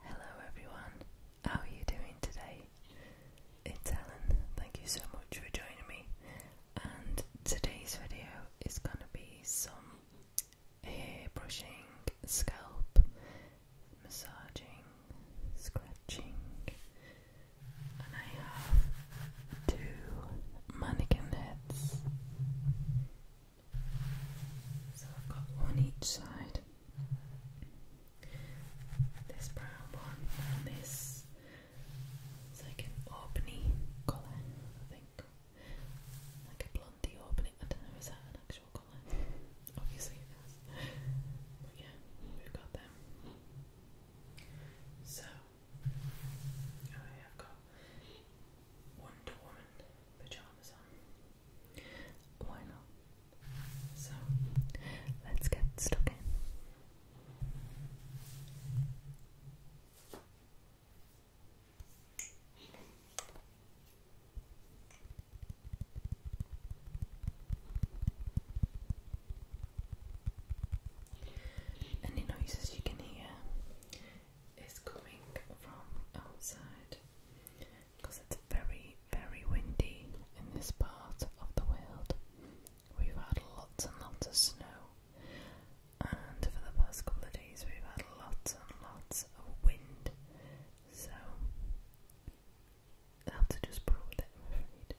Hello everyone, how are you doing today? It's Ellen, thank you so much for joining me and today's video is going to be some hair brushing, scalp, massaging, scratching and I have two mannequin heads. So I've got one each side. This brown one and this it's like an Albany colour, I think. Like a blondie Albany. I don't know, is that an actual colour? Obviously it is. But yeah, we've got them. So I have got Wonder Woman pajamas on. Why not? So let's get stuck in. Any noises you can hear is coming from outside because it's very, very windy in this part of the world. We've had lots and lots of snow, and for the past couple of days, we've had lots and lots of wind. So, I have to just borrow I'm afraid.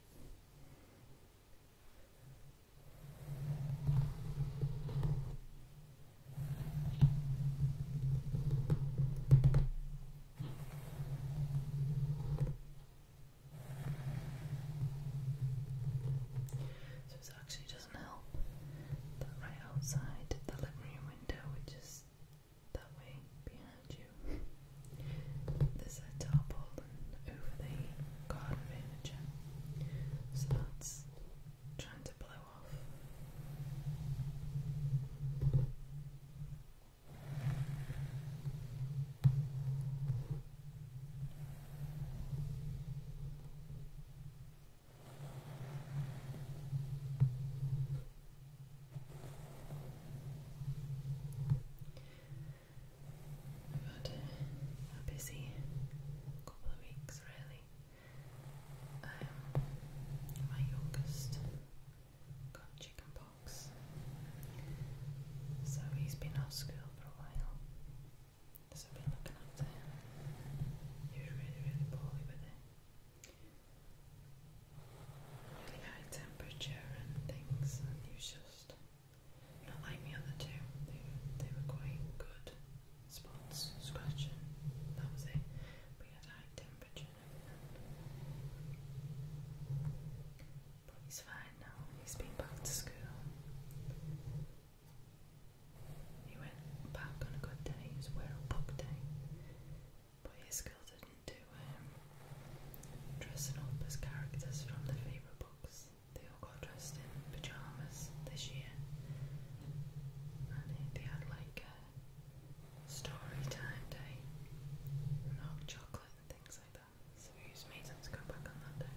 So it actually doesn't help that right outside the living room window, which is that way behind you. There's a tarpaulin over the garden furniture, so that's trying to blow off. I've had a, busy couple of weeks, really. Um, my youngest got chickenpox, so he's been off school for a while. So I've been looking after him. He really, really poorly with it really high temperature and things, and it just not like the two. They, they were quite good spots, scratching, that was it. We had high temperature But he's fine now, he's been back to school. He went back on a good day, it was World Book Day but he is guided into um, dressing up as characters from their favourite books. They all got dressed in pyjamas this year, and they had like a story time day and chocolate and things like that. So we made them go back on that day.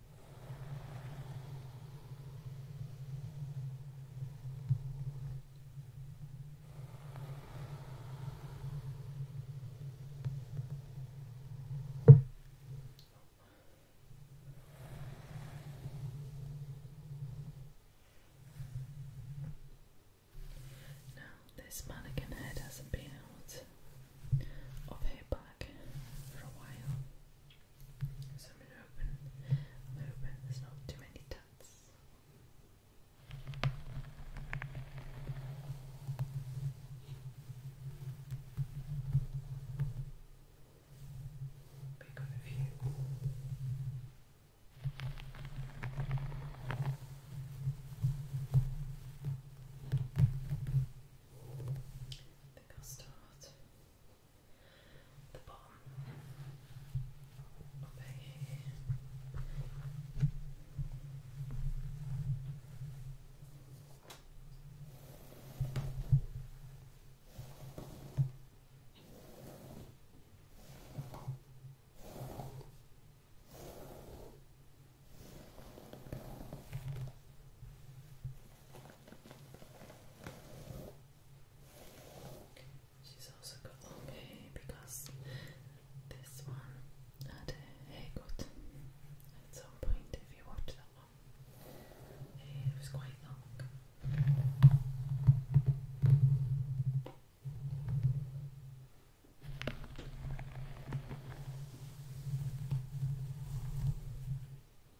Now, this mannequin head hasn't been out of her for a while. So I'm gonna open I'm going there's not too many tuts. But you got a I think I'll start the bottom Okay. She's also got okay because this one had a haircut at some point if you watch that one. It was quite long.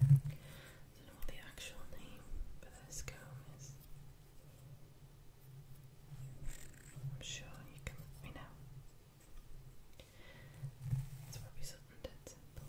don't know what the actual name for this comb is. I'm sure you can let me know. It's probably something simple.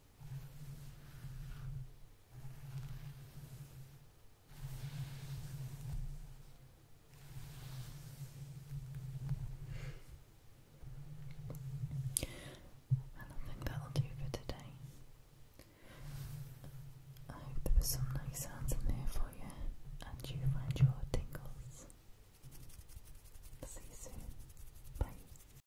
And I think that'll do for today. I hope there was some nice sounds in there for you and you find your tingles. See you soon. Bye.